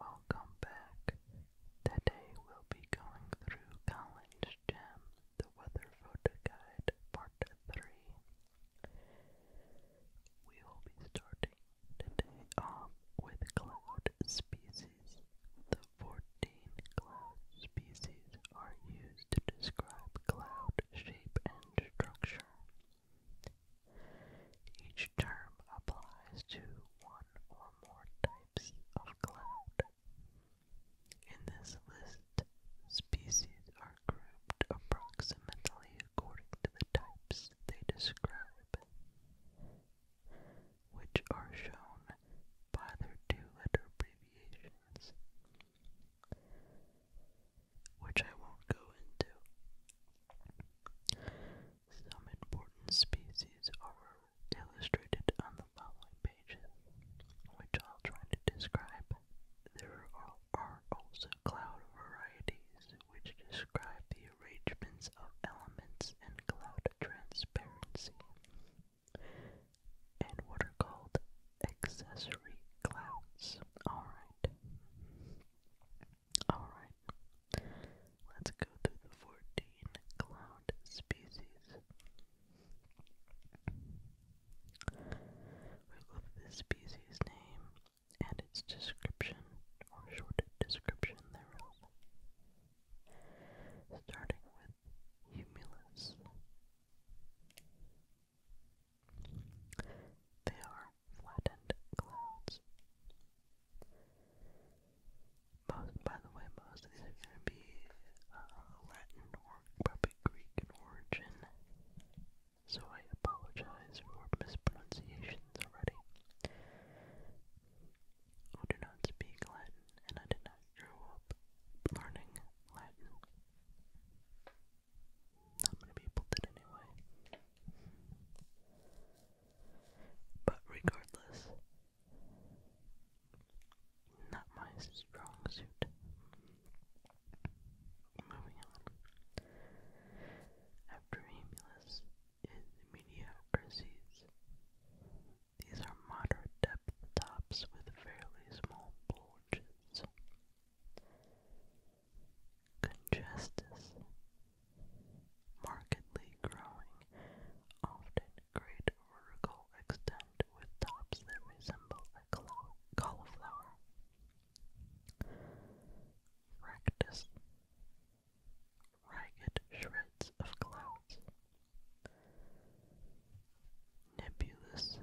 Welcome back. Today we'll be going through Collins Gem, the Weather Photo Guide, Part 3. We will be starting today off with cloud species. The 14 cloud species are used to describe cloud shape and structure. Each term applies to one or more types of cloud. In this list, species are grouped approximately according to the types they describe, which are shown by their two-letter abbreviations which I won't go into. Some important species are illustrated on the following pages, which I'll try to describe. There are, are also cloud varieties which describe the arrangements of elements and cloud transparency, and what are called accessory clouds. Alright. Alright. Let's go through the 14 cloud species. We'll go through the species name and its description, or short description thereof. Starting with Humulus. They are flattened clouds. Most, by the way, most of these are going to be uh, Latin or probably Greek in origin, so I apologize for mispronunciations already. I do not speak Latin, and I did not grow up learning Latin. Not many people did anyway. But regardless, not my strong suit. Moving on. After Emulus is Mediocrities. These are moderate except the tops with fairly small bulges. Congestus, markedly growing, often great vertical extent with tops that resemble a cauliflower. Rectus, ragged shreds of clouds Nebulous.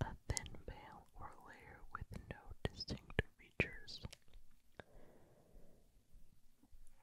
A thin veil or layer with no distinct features.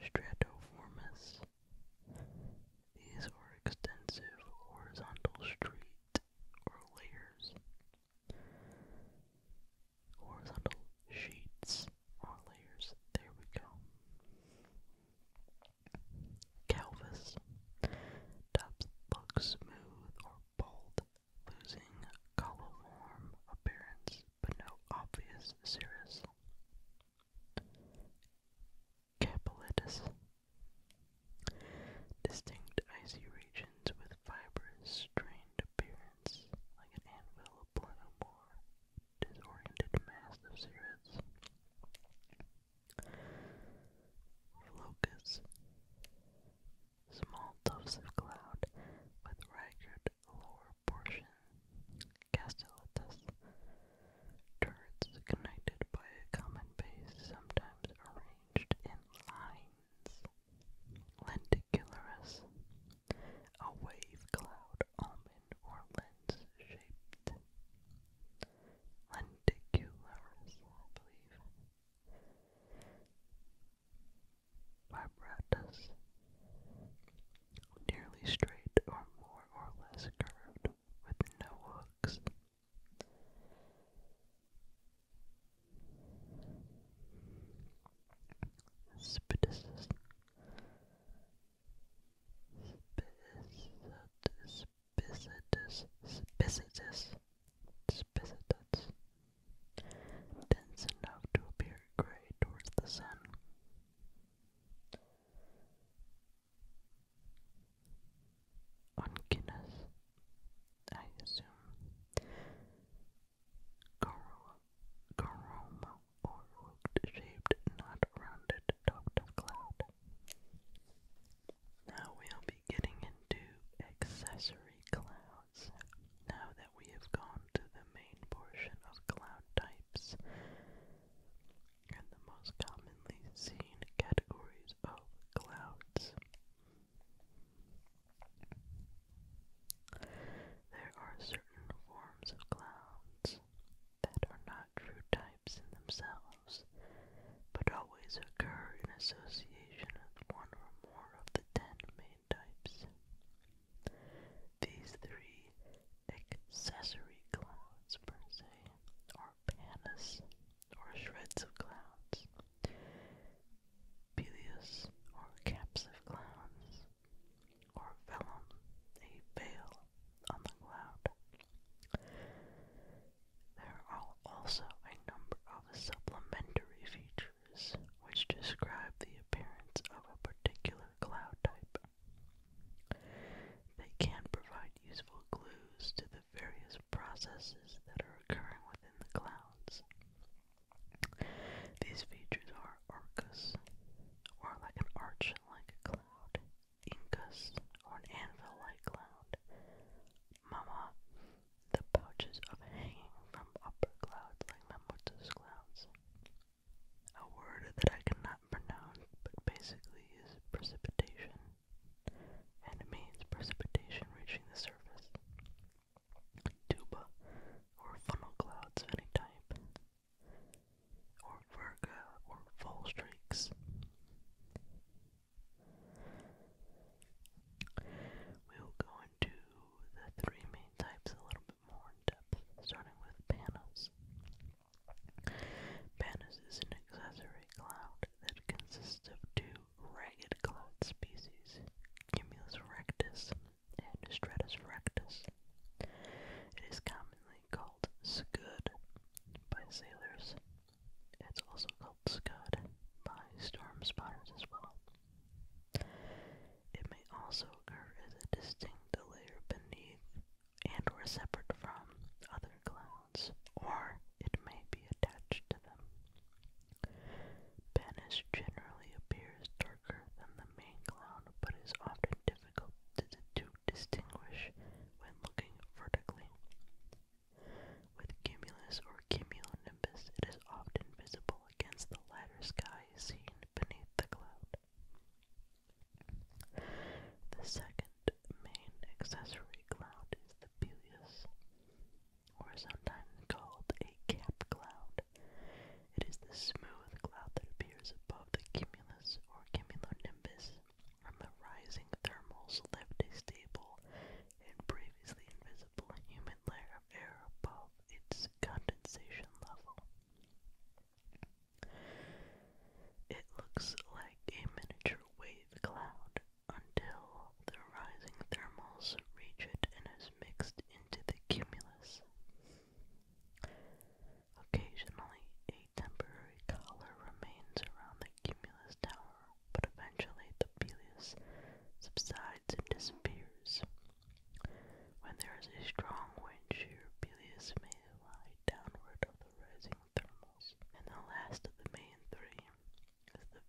Stratoformis. These are extensive horizontal streets or layers. Horizontal sheets or layers. There we go. Calvus. Tops look smooth or bald, losing coliform appearance but no obvious cirrus. Capilitis. Distinct icy regions with fibrous, strained appearance, like an anvil of bloom disoriented mass of cigarettes. Flocus. Small tufts of cloud with ragged lower portion. Castellatus. Turrets connected by a common base, sometimes arranged in lines. Lenticularis. A wave cloud almond or lens shaped. Lenticularis, I Vibratus. Nearly straight or more or less curved with no hooks. Spiticus. Spicitus, Spicitus, Spicitus, dense enough to appear gray towards the sun. Oncinus, I assume. Corolla, coroma or root-shaped, not rounded topped cloud. Now we'll be getting into accessory clouds. Now that we have gone to the main portion of cloud types and the most commonly seen categories of clouds. There are certain forms of clouds that are not true types in themselves, but always occur in association with one or more of the ten main types. These three accessory clouds, per se, are panas, or shreds of clouds, peleus, or caps of clouds, or fell a veil on the cloud. There are also a number of supplementary features which describe the appearance of a particular cloud type. They can provide useful clues to the various processes that are occurring within the clouds. These features are arcus, or like an arch-like a cloud, incus, or an anvil-like cloud, mama, the pouches of hanging from upper clouds like mammotus clouds. A word that I cannot pronounce, but basically is precipitation, and it means precipitation reaching the surface tuba, or funnel clouds of any type, or virga, or fall streaks. We will go into the three main types a little bit more in depth, starting with panas. Panas is an accessory cloud that consists of two ragged cloud species, cumulus rectus and stratus rectus. It is commonly called scud by sailors. It's also called scud by storm spotters as well. It may also occur as a distinct layer beneath and or separate from other clouds, or it may be attached to them. Banish generally appears darker than the main cloud, but is often difficult to, distinguish when looking vertically. With cumulus or cumulonimbus, it is often visible against the lighter sky seen beneath the cloud. The second main accessory cloud is the Belius or sometimes called a cap cloud. It is the smooth cloud that appears above the cumulus or cumulonimbus from the rising thermals left a stable and previously invisible humid layer of air above its condensation level. It looks like a miniature wave cloud, until the rising thermals reach it and is mixed into the cumulus. Occasionally, a temporary collar remains around the cumulus tower, but eventually the Peleus subsides and disappears. When there is a strong wind shear, Peleus may lie downward of the rising thermals. And the last of the main three, is the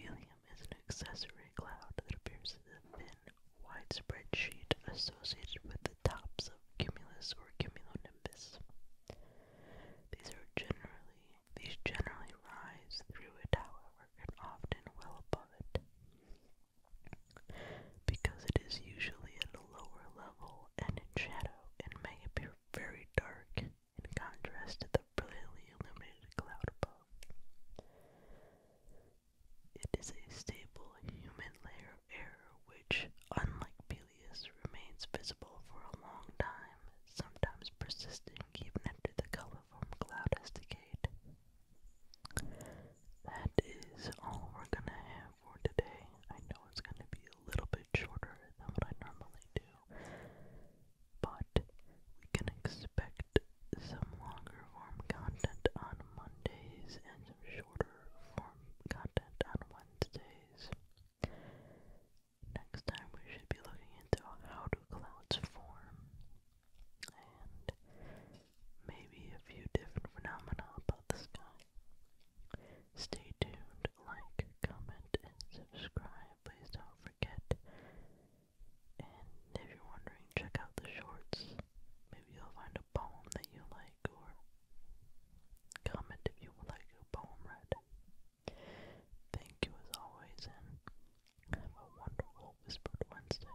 Velium. is an accessory cloud that appears as a thin, widespread sheet associated with the tops of cumulus or cumulonimbus. These are generally these generally rise through it, however, and often well above it. Because it is usually at a lower level and in shadow, it may appear very dark in contrast to the brilliantly illuminated cloud above. It is a stable, humid layer of air which, unlike Peleus, remains visible for a long time, sometimes persisting even after the colorful cloud has decayed. That is all we're gonna have for today. I know it's gonna be a little shorter than what I normally do, but we can expect some longer form content on Mondays and some shorter form content on Wednesdays. Next time we should be looking into how do clouds form and maybe a few different phenomena about the sky. Stay tuned, like, comment, and subscribe. Please don't forget. And if you're wondering, check out the shorts. Maybe you'll find a poem that you like, or comment if you would like a poem read. Thank you as always, and have a wonderful Whispered Wednesday.